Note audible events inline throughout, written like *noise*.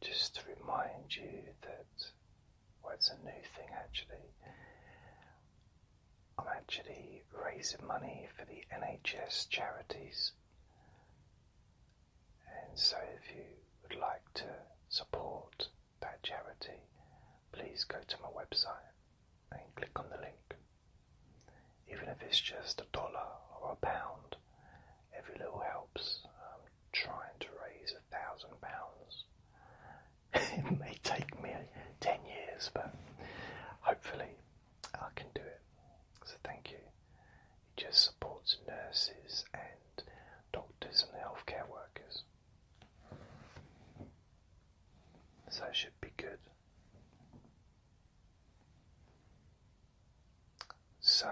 just to remind you that, what's a new thing actually. I'm actually raising money for the NHS charities. And so, if you would like to support that charity, please go to my website and click on the link. Even if it's just a dollar or a pound, every little helps. I'm trying to raise a thousand pounds. *laughs* It may take me ten years, but hopefully I can do it. So thank you. It just supports nurses and doctors and healthcare workers. So it should be good. So,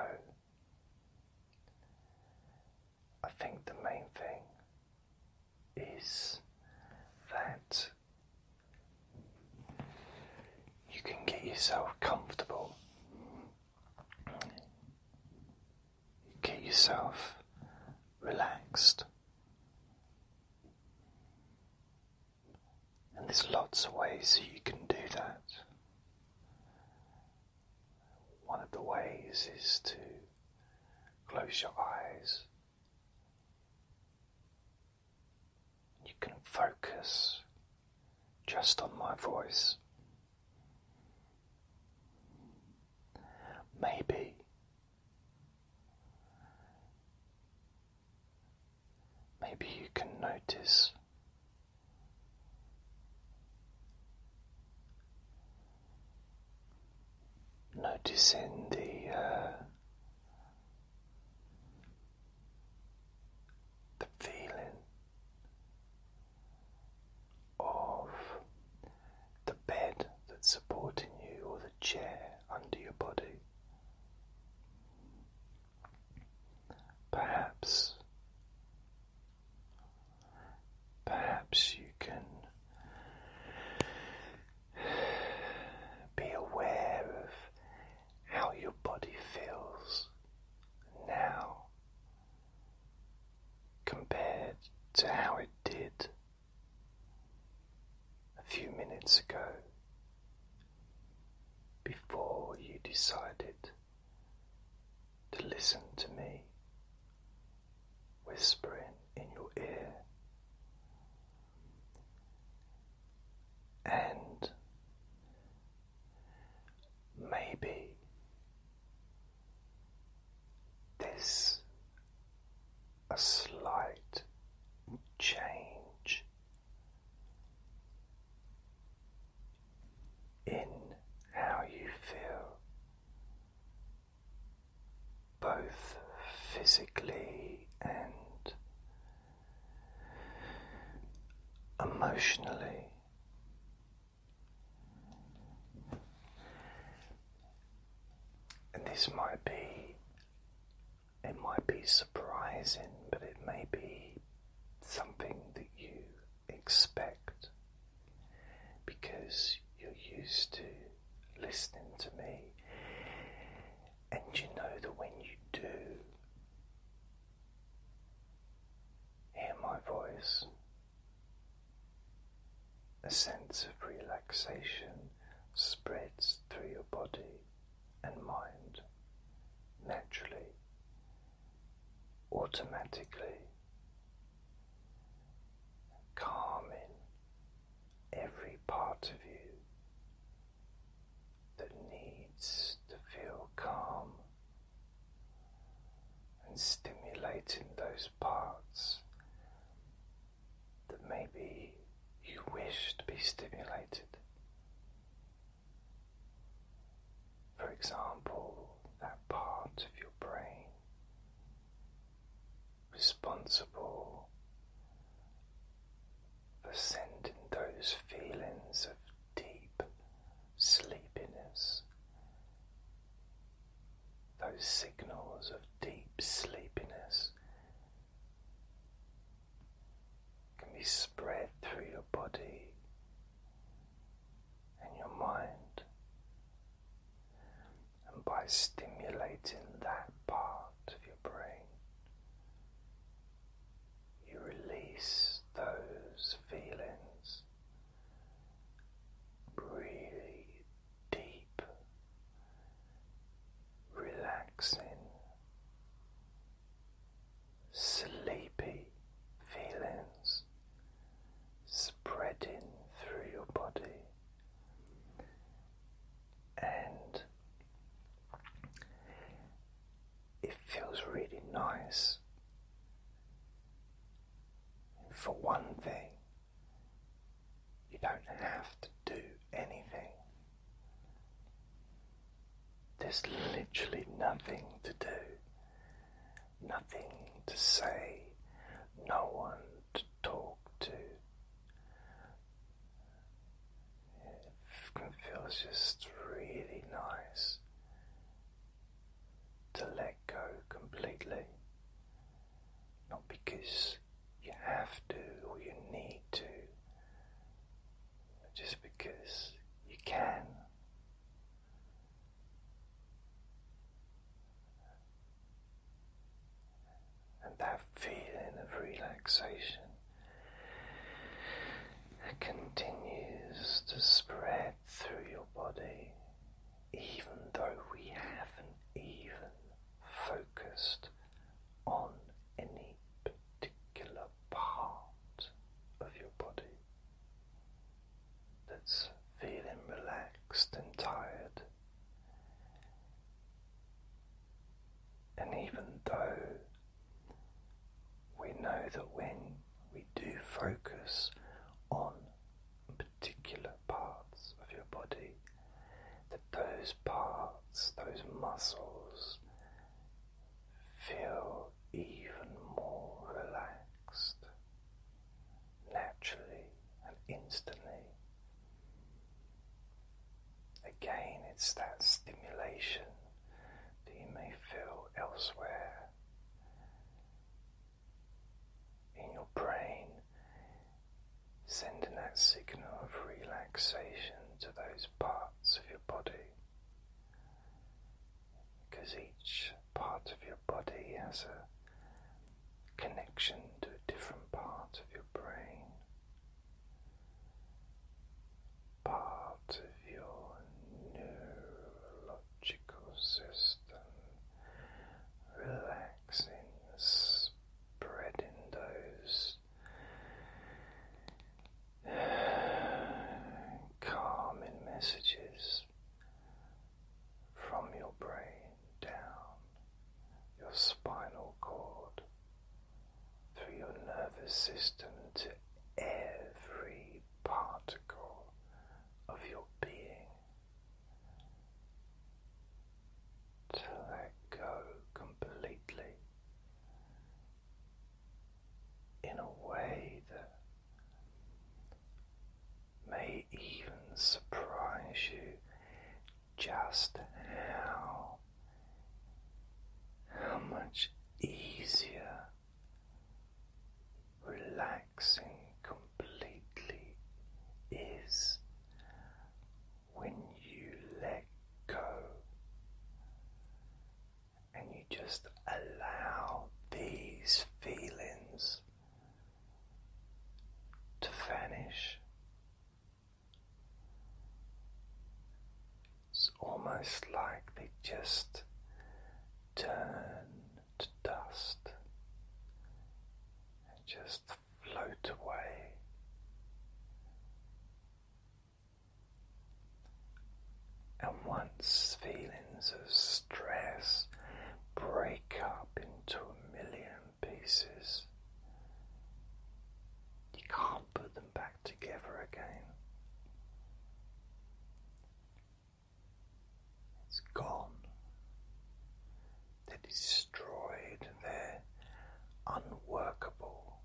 I think the main thing is that you can get yourself comfortable, get yourself relaxed. And there's lots of ways you can do that. One of the ways is to close your eyes. You can focus just on my voice. Maybe Maybe you can notice noticing the uh, the feeling of the bed that's supporting you, or the chair under your body. Perhaps, perhaps you can be aware of how your body feels now compared to how it did a few minutes ago before you decided to listen to me whispering in your ear. And maybe this a slight change in how you feel, both physically and emotionally and this might be it might be surprising, but it may be something that you expect because you're used to listening to me, and you know that when you do hear my voice, a sense of relaxation spreads through your body and mind naturally, automatically, calming every part of you that needs to feel calm and stimulating those parts that maybe you wish to be stimulated. For example, that part of your brain responsible for sending those feelings of deep sleepiness those signals of deep sleepiness can be spread through your body and your mind, and by stimulating that part of your brain, you release those feelings. Breathe deep, relaxing, sleepy feelings spreading through your body. And it feels really nice. For one thing, you don't have to do anything. There's literally nothing to do, nothing to say, no one to talk to. It feels just really nice to let go completely not because you have to or you need to, just because you can. And that feeling of relaxation continues to spread through your body even though we haven't even focused on any particular part of your body that's feeling relaxed and tired. And even though we know that when we do focus on particular parts of your body, that those parts, those muscles, feel even more relaxed naturally and instantly. Again, it's that stimulation that you may feel elsewhere in your brain, sending that signal of relaxation to those parts of your body. Because each part of your body has a connection to a different part of your brain, part of your neuro neurological system, relaxing, spreading those calming messages from your brain down your spinal cord through your nervous system to every particle of your being to let go completely in a way that may even surprise you just how how much easier relax relaxing completely is when you let go and you just allow these feelings to vanish. It's almost like they just turn to dust and just float away. And once feelings of stress break up into a million pieces, you can't put them back together again. It's gone. They're destroyed. They're unworkable.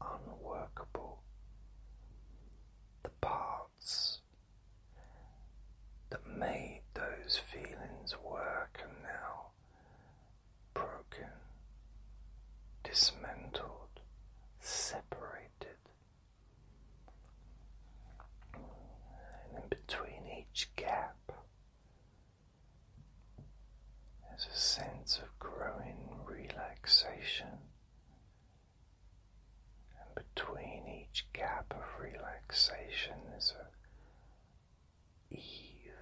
Unworkable. The parts that made those feelings work and now broken, dismantled, separated. And in between each gap, there's a sense of growing relaxation. And between each gap of relaxation, there's a even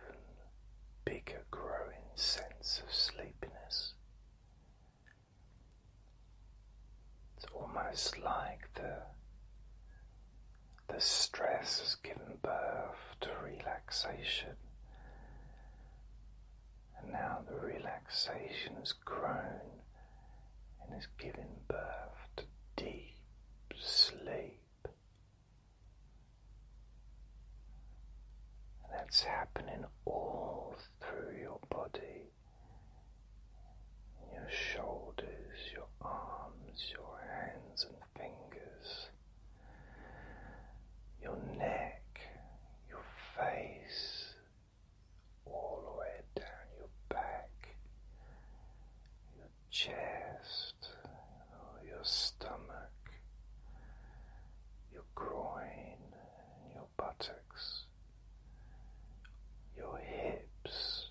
bigger growing sense of sleepiness. It's almost like the the stress has given birth to relaxation. And now the relaxation has grown and has given birth to deep sleep. And that's happening all through your body, your shoulders, your arms, your hands and fingers, your neck, your face, all the way down your back, chest, your stomach, your groin, your buttocks, your hips,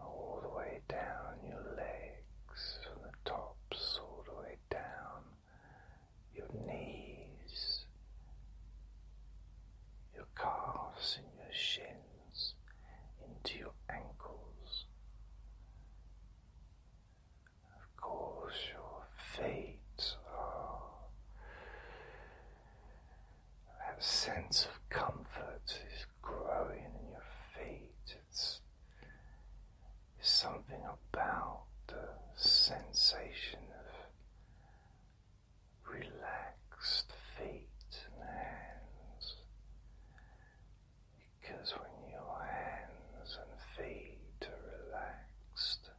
all the way down your legs, from the tops all the way down your knees, your calves, and your shins into your ankles. Of course, your feet are that sense of comfort is growing in your feet. it's something about the sensation of relaxed feet and hands because when your hands and feet are relaxed,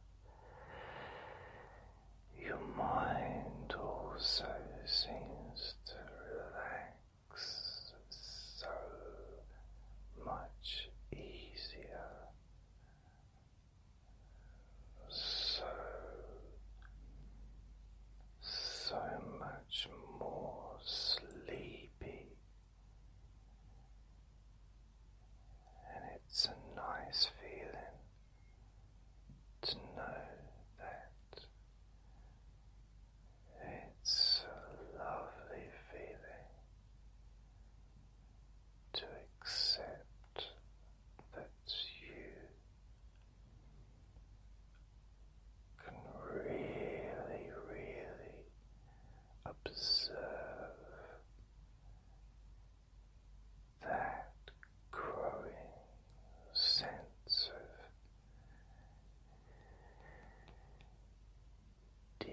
your mind also seems to relax so much easier so, so much more sleepy, and it's a nice feeling to know that. It's a lovely feeling to accept that's you can really, really observe that growing sense of deep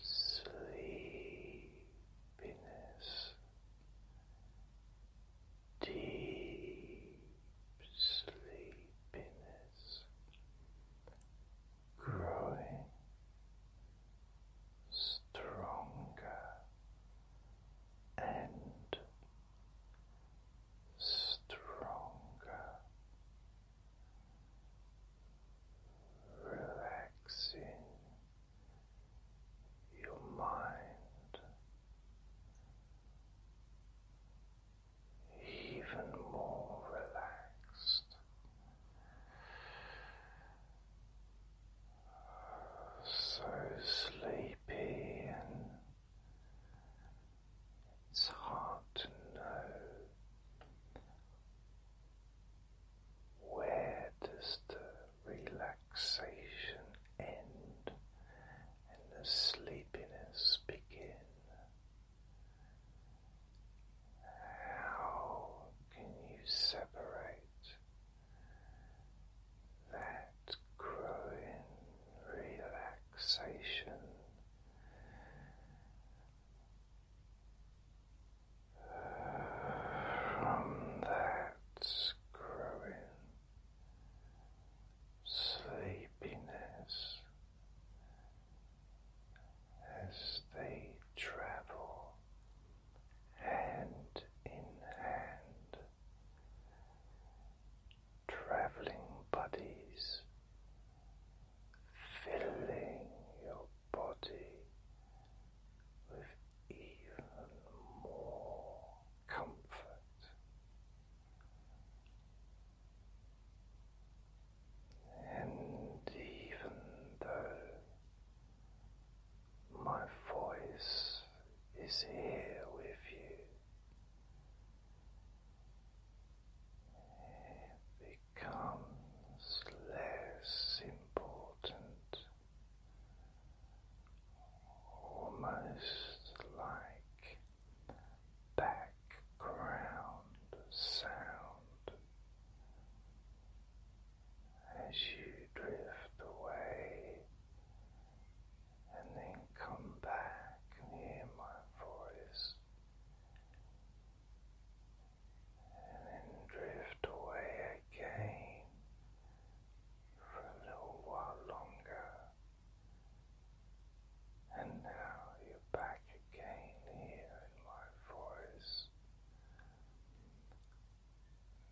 sleepiness, deep sleepiness growing stronger and stronger, relaxing your mind even more relaxed, so sleepy, and it's hard to know where does the relaxation end and the sleepiness begin? How can you separate that growing relaxation from that growing sleepiness as they travel hand in hand, traveling bodies filling your body with even more comfort. And even though my voice is here with you, becomes less important, almost like background sound as you drift away. And then come back and hear my voice and then drift away again for a little while longer. And now you're back again here in my voice.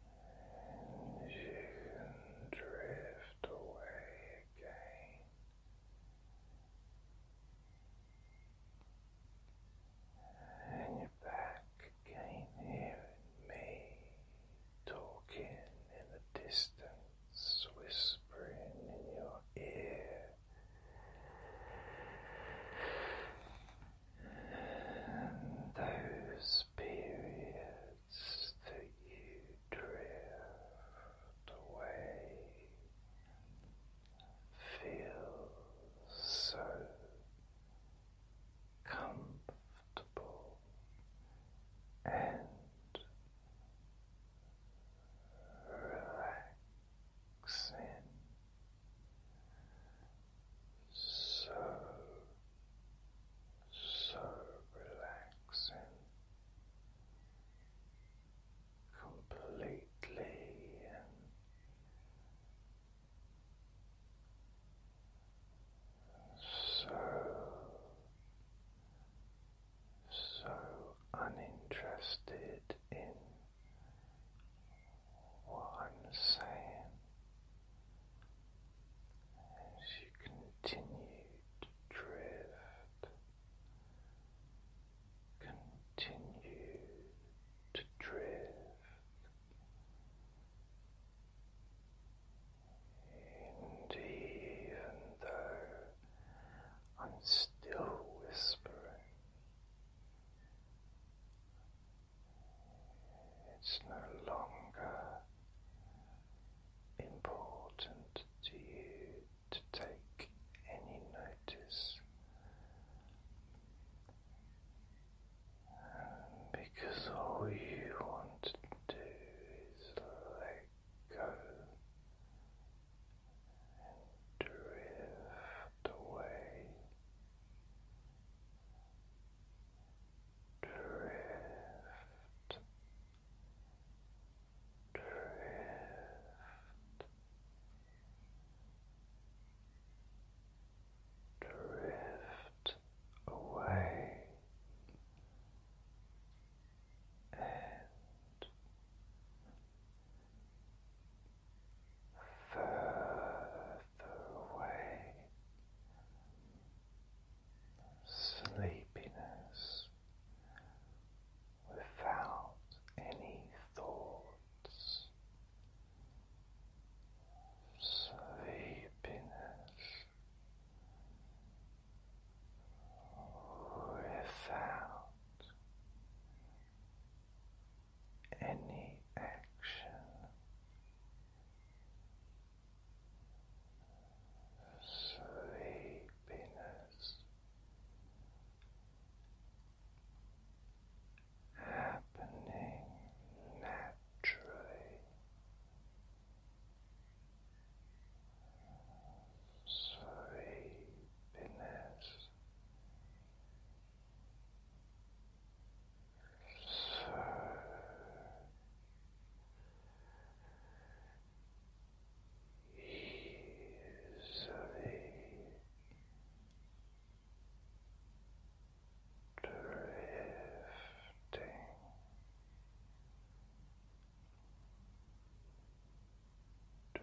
And you can drift away again. And you're back again here me, talking in the distance, whispering in your ear. And those periods that you drift away Feel so comfortable and relaxing, so so relaxing completely so so uninterested in what I'm saying as you continue to drift continue to drift and even though I'm still whispering, it's no longer important to you to take any notice. because all you want to do is let go and drift away, drift drift drift away and further away sleepiness without any thoughts, sleepiness without any action. Sleepiness happening naturally. Sleepiness, so easily drifting. Drifting. So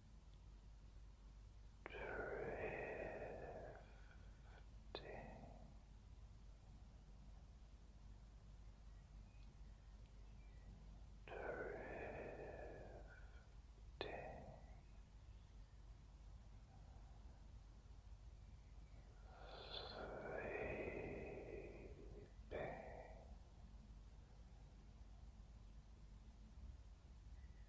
drifting drifting Sleeping.